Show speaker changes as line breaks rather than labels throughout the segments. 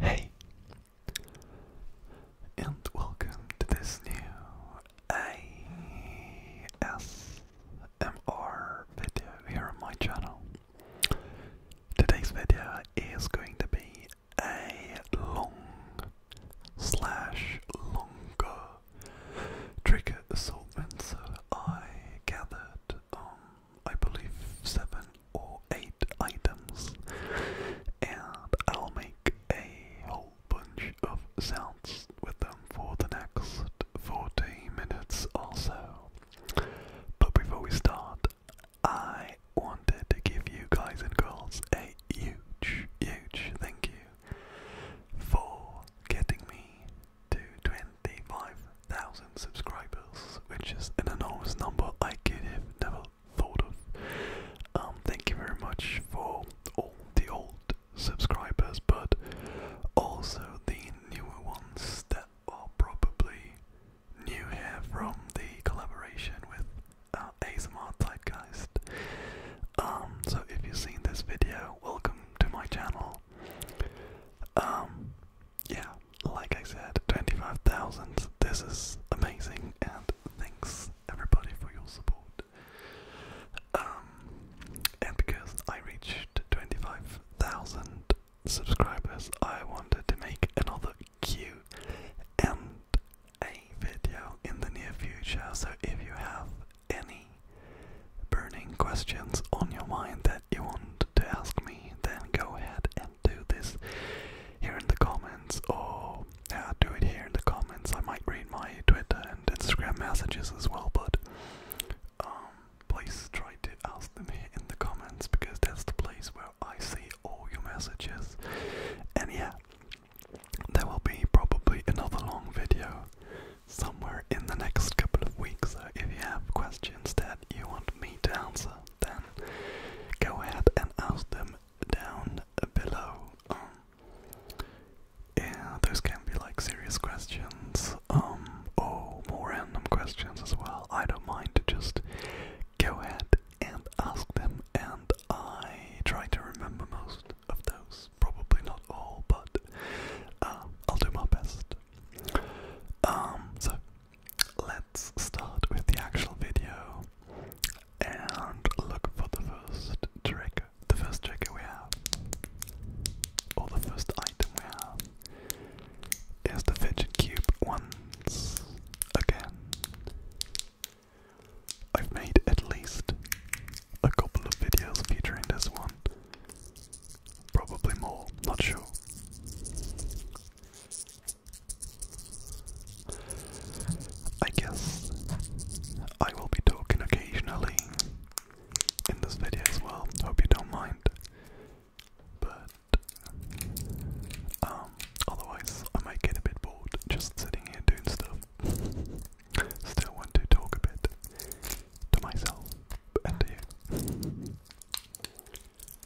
Hey, and welcome to this new ASMR video here on my channel. Today's video is going to be a long slash longer trigger assortment. So I gathered um I believe, seven or eight items, and I'll make a whole bunch of sounds with them for the next 40 minutes or But before we start, I wanted to give you guys and girls a huge, huge thank you for getting me to 25,000 subscribers, which is an enormous number I could have never thought of. Um, thank you very much for all the old subscribers, but also the newer ones that are probably new here from the collaboration with uh, ASMR Zeitgeist. Um, so if you've seen this video, welcome to my channel. Um, yeah, like I said, 25,000. This is amazing, and thanks everybody for your support. Um, and because I reached 25,000 subscribers, I wanted to make another Q and A video in the near future. So if you have any burning questions on your mind that you want to ask me, then go ahead and do this here in the comments or yeah, do it here in the comments. I might read my Twitter and Instagram messages as well, but um, please try to ask them here in the comments because that's the place where I see all your messages. And yeah, there will be probably another long video somewhere in the next couple of weeks. So if you have questions that you want me to answer, then go ahead and ask them down below. Um, yeah, those can be like serious questions, um, or more random questions as well. I don't mind to just go ahead and ask them, and I try to remember most of those. Probably not all, but um, I'll do my best. Um, so. let let's start with the actual video and look for the first trigger. The first trigger we have, or the first item we have, is the fidget cube once again. I've made at least a couple of videos featuring this one. Probably more, not sure. I guess I will be talking occasionally in this video as well. Hope you don't mind. But um, otherwise I might get a bit bored just sitting here doing stuff. Still want to talk a bit to myself and to you.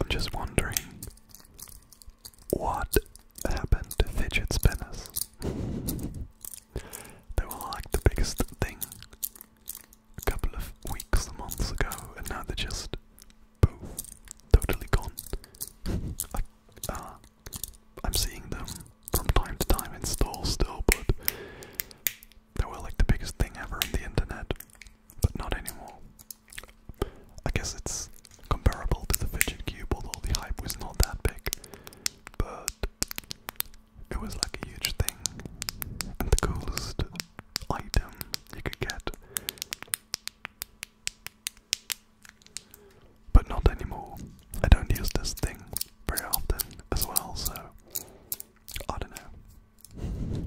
I'm just wondering what happened fidget spinners. They were like the biggest thing a couple of weeks months ago, and now they're just poof, totally gone. Uh, I'm seeing them from time to time in stores still, but they were like the biggest thing ever on the internet, but not anymore. I guess it's comparable to the fidget cube, although the hype was not that big. But it was like a huge thing. And the coolest item you could get. But not anymore. I don't use this thing very often as well, so I don't know.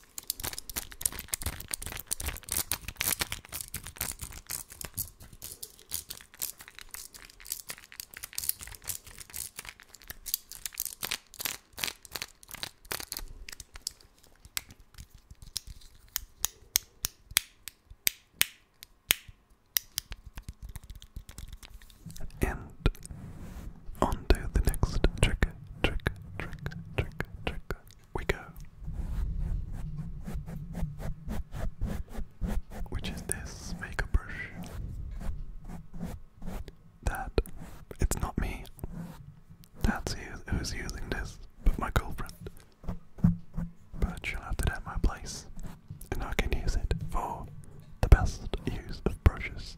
And on the next trick, trick, trick, trick, trick, we go. Which is this makeup brush. That, it's not me. That's who, who's using this, but my girlfriend. But she'll it at my place, and I can use it for the best use of brushes.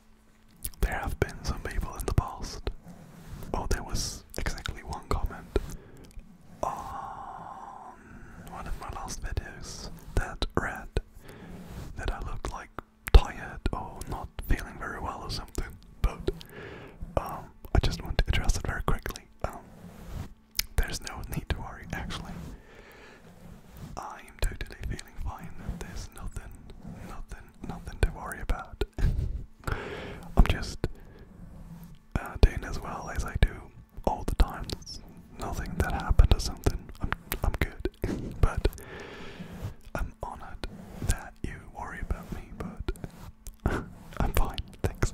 There have been some people in the past. Oh, there was exactly one comment on one of my last videos that read that I looked like tired or not feeling very well or something. But um, I just want to address it very quickly. Um, there's no need to worry, actually. I am totally feeling fine. There's nothing, nothing nothing to worry about. I'm just uh, doing as well as I do all the time. There's nothing that happened or something. I'm I'm good, but I'm honored that you worry about me. But I'm fine, thanks.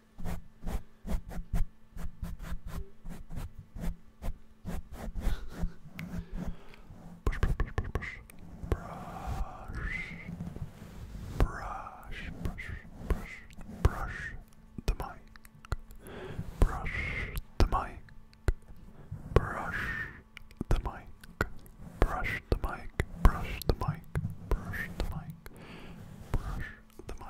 Brush, brush, brush, brush, brush. Brush, brush, brush, brush, brush the mic. Brush the mic. Brush the mic. Brush the mic. Brush the mic. Brush the mic. Brush the mic.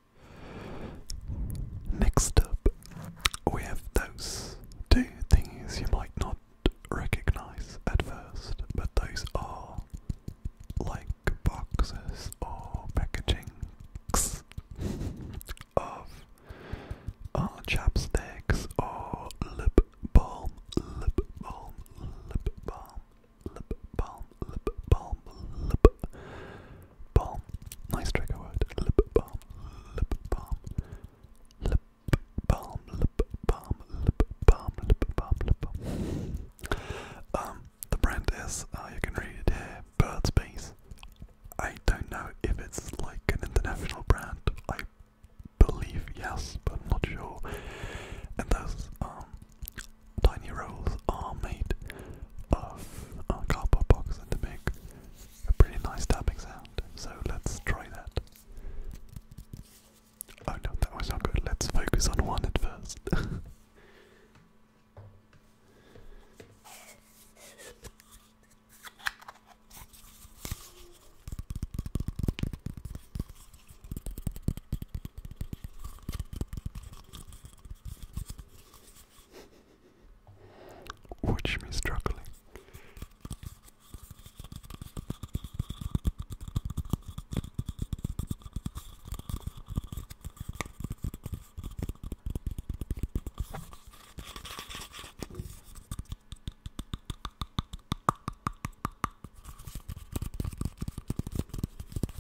Next up, we have those two things you might not recognize at first, but those are like boxes or packagings of uh, chapsticks or lip balm, lip balm, lip balm, lip balm lip balm, lip balm. Nice trigger word. Lip balm, lip balm, lip balm, lip balm, lip balm, lip balm, lip balm. Um, the brand is. Uh, you can read it here. Bird's I don't know if it's like an international brand. I believe yes, but I'm not sure. And there's tiny rolls are made of uh, cardboard box and they make a pretty nice tapping sound. So let's try that. Oh no, that was not good. Let's focus on one at first. Watch me struggling.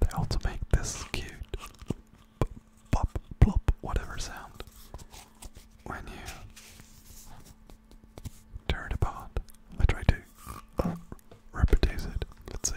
They also make this cute pop, plop, whatever sound when you tear it apart. I try to reproduce it. Let's see.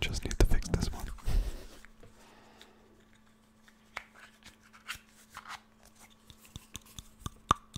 Just need to fix this one.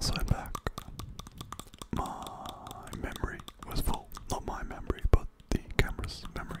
So back. My memory was full. Not my memory, but the camera's memory.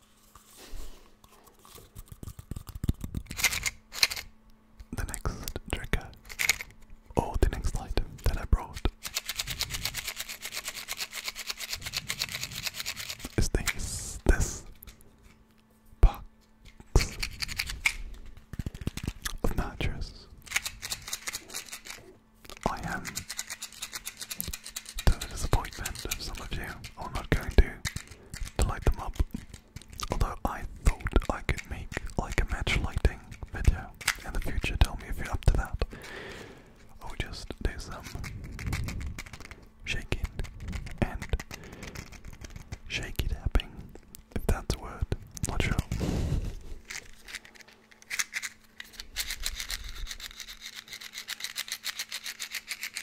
The next trigger, or the next item that I brought, is this, this box of matches. I am to the disappointment of some of you, I'm not going to, to light them up. Although I thought I could make like a match lighting video in the future, tell me if you're up to that. Or just do some shaking and shaky tapping, if that's a word, not sure.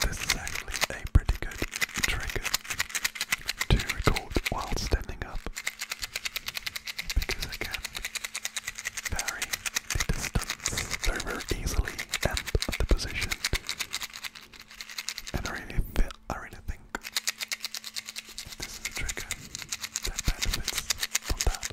This is actually a pretty good trigger to record while standing up because I can vary very very easily and the position. And I really feel, I really think this is a trigger that benefits from that.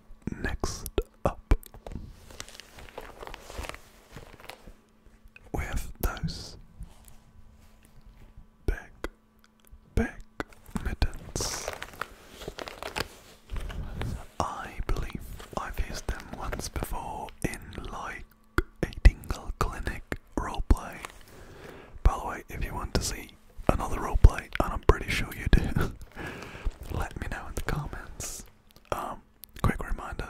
Next up, we have those big, big mittens. I believe I've used them once before in like a Tingle Clinic roleplay. By the way, if you want to see another roleplay, and I'm pretty sure you do, let me know in the comments. Um, quick reminder,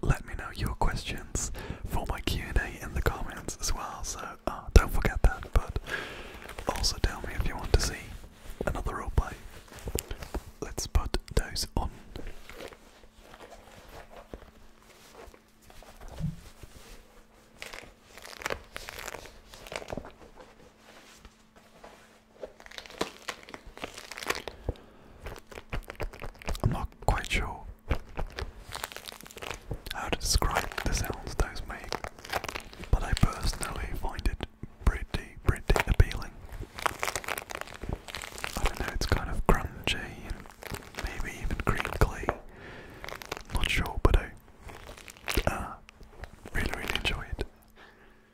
let me know your questions for my Q&A in the comments as well, so uh, don't forget that, but also tell me if you want to see another roleplay. Let's put those on. I'm not quite sure how to describe the sounds those make, but I personally find it pretty, pretty appealing. I don't know, it's kind of crunchy maybe even crinkly. Not sure, but I uh, really, really enjoy it.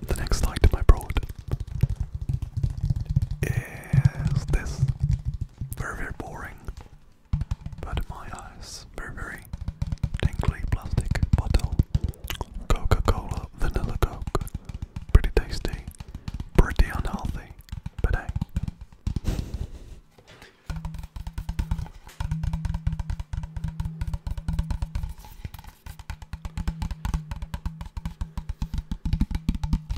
The next item I brought is this very, boring but my eyes, very, very tingly plastic bottle. Coca Cola, vanilla Coke. Pretty tasty, pretty unhealthy, but hey.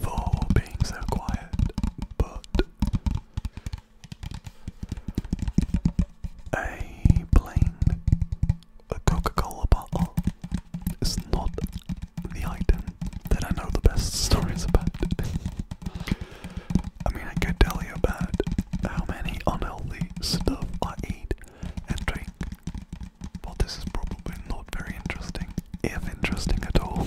for being so quiet, but a plain Coca-Cola bottle is not the item that I know the best stories about. I mean, I could tell you about how many unhealthy stuff I eat and drink, but this is probably not very interesting, if interesting at all.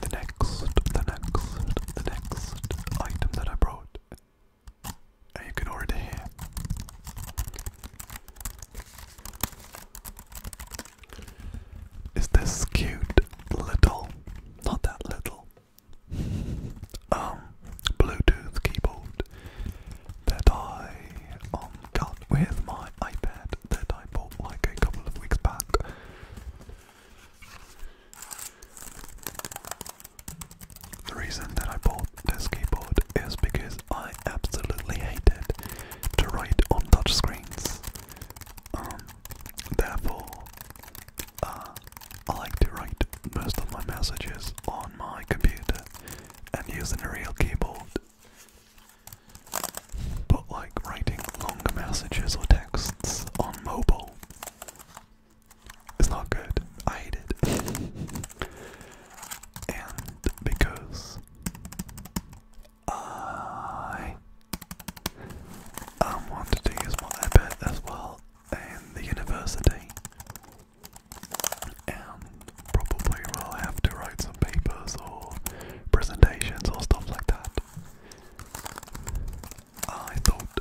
the next, the next, the next item that I brought. And you can already hear. Is this cute little, not that little, um, Bluetooth keyboard that I um, got with my iPad that I bought like a couple of weeks back. The reason that I bought this keyboard is because I absolutely hated to write on touchscreens. Um, therefore, uh, I like to write most of my messages on my computer and using a real keyboard but like writing longer messages or texts on mobile is not good. I hate it. and because I um, wanted to use my iPad as well in the university. And probably will have to write some papers or presentations or stuff like that. I thought,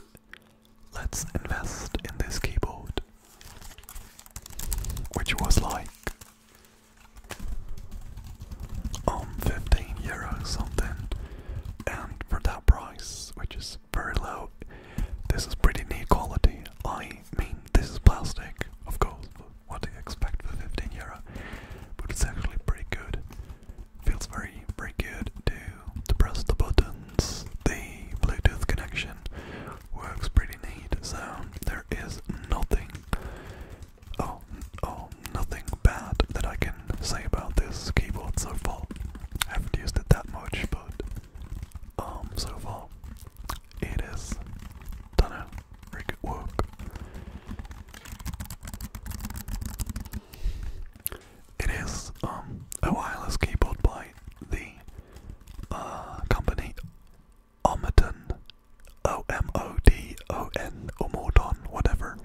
let's invest in this keyboard, which was like um 15 euros something, and for that price, which is very low, this is pretty neat quality. I mean, this is plastic, of course. What do you expect for 15 euro? But it's actually pretty good. Feels very, very good to to press the buttons. The Bluetooth connection works pretty neat, so there is nothing, oh, oh, nothing bad that I can say about this keyboard so far. I haven't used it that much, but um, so far it is done a very work. It is um, a wireless keyboard by the uh, company Omodon, O M O D O N, or whatever,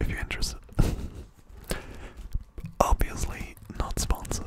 if you're interested. Obviously, not sponsored.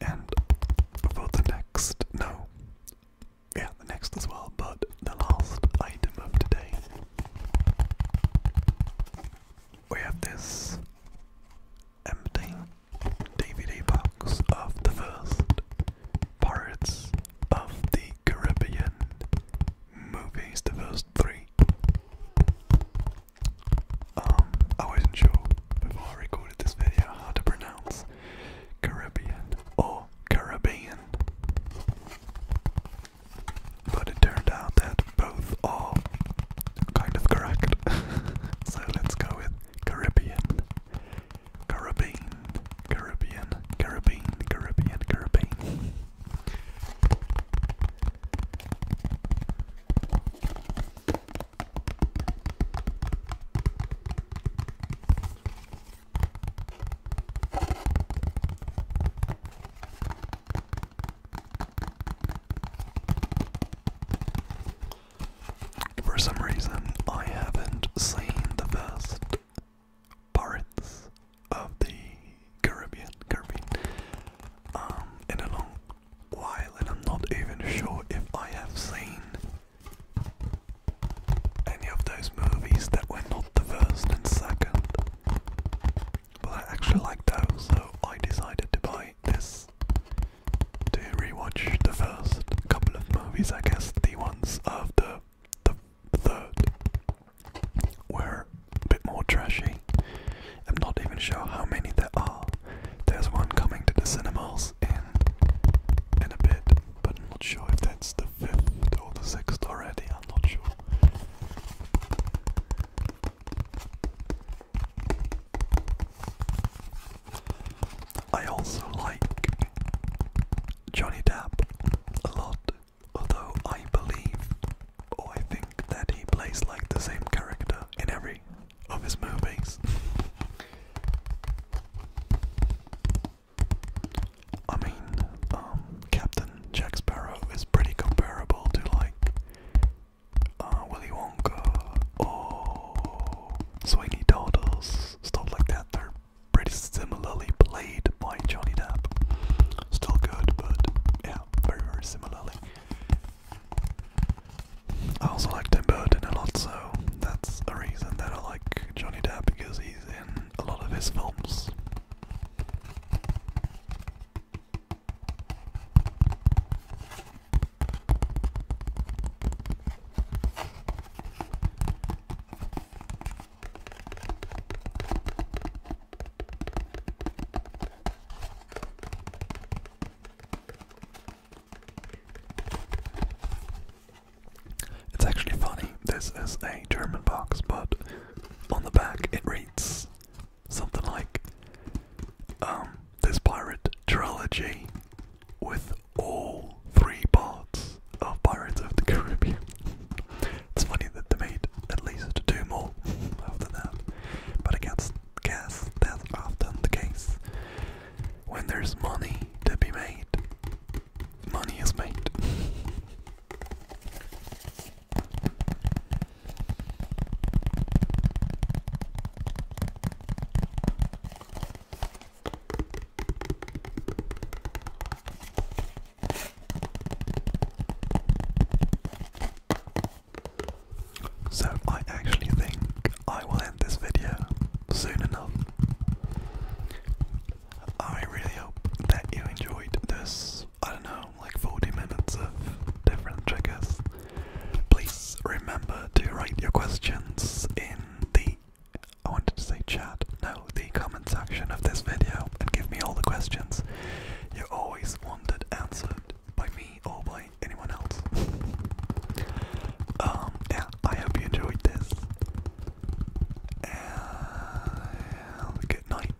And for the next, no, yeah, the next as well, but the last item of today, we have this empty DVD box of the first Pirates of the Caribbean movies, the first three. Um, I wasn't sure before I recorded this video how to pronounce Caribbean or Caribbean. But it turned out that both are kind of correct. so let's go with Caribbean. Caribbean, Caribbean, Caribbean, Caribbean, Caribbean. For some reason, I haven't seen the first parts of the Caribbean, Caribbean, um, in a long while, and I'm not even sure if I have seen any of those movies that were not the first and second. But I actually liked those, so I decided to buy this to rewatch the first couple of movies. I guess the ones after the third were a bit more trashy. I'm not even sure how many there are. There's one coming to the cinemas in in a bit, but I'm not sure if that's the fifth or the sixth already. I'm not sure. I also like Johnny Depp a lot, although I believe or I think that he plays like the same character in every of his movies. I mean, um, Captain Jack Sparrow is pretty comparable to like uh, Willy Wonka, oh, Swingy Doodles, stuff like that. They're pretty similarly played by Johnny Depp. Still good, but yeah, very, very similarly. I also like Tim Burton a lot, so that's a reason that I like Johnny Depp because he's in a lot of his films. It's actually funny. This is a German box, but on the back it reads something like um, this pirate trilogy with all three parts of Pirates of the Caribbean. it's funny that they made at least two more after that, but I guess, guess that's often the case. When there's money to be made, money is made. So, I actually think I will end this video soon enough. I really hope that you enjoyed this, I don't know, like 40 minutes of different triggers. Please remember to write your questions in the I wanted to say chat, no, the comment section of this video and give me all the questions you always wanted answered by me or by anyone else. Um, yeah, I hope you enjoyed this. And good night.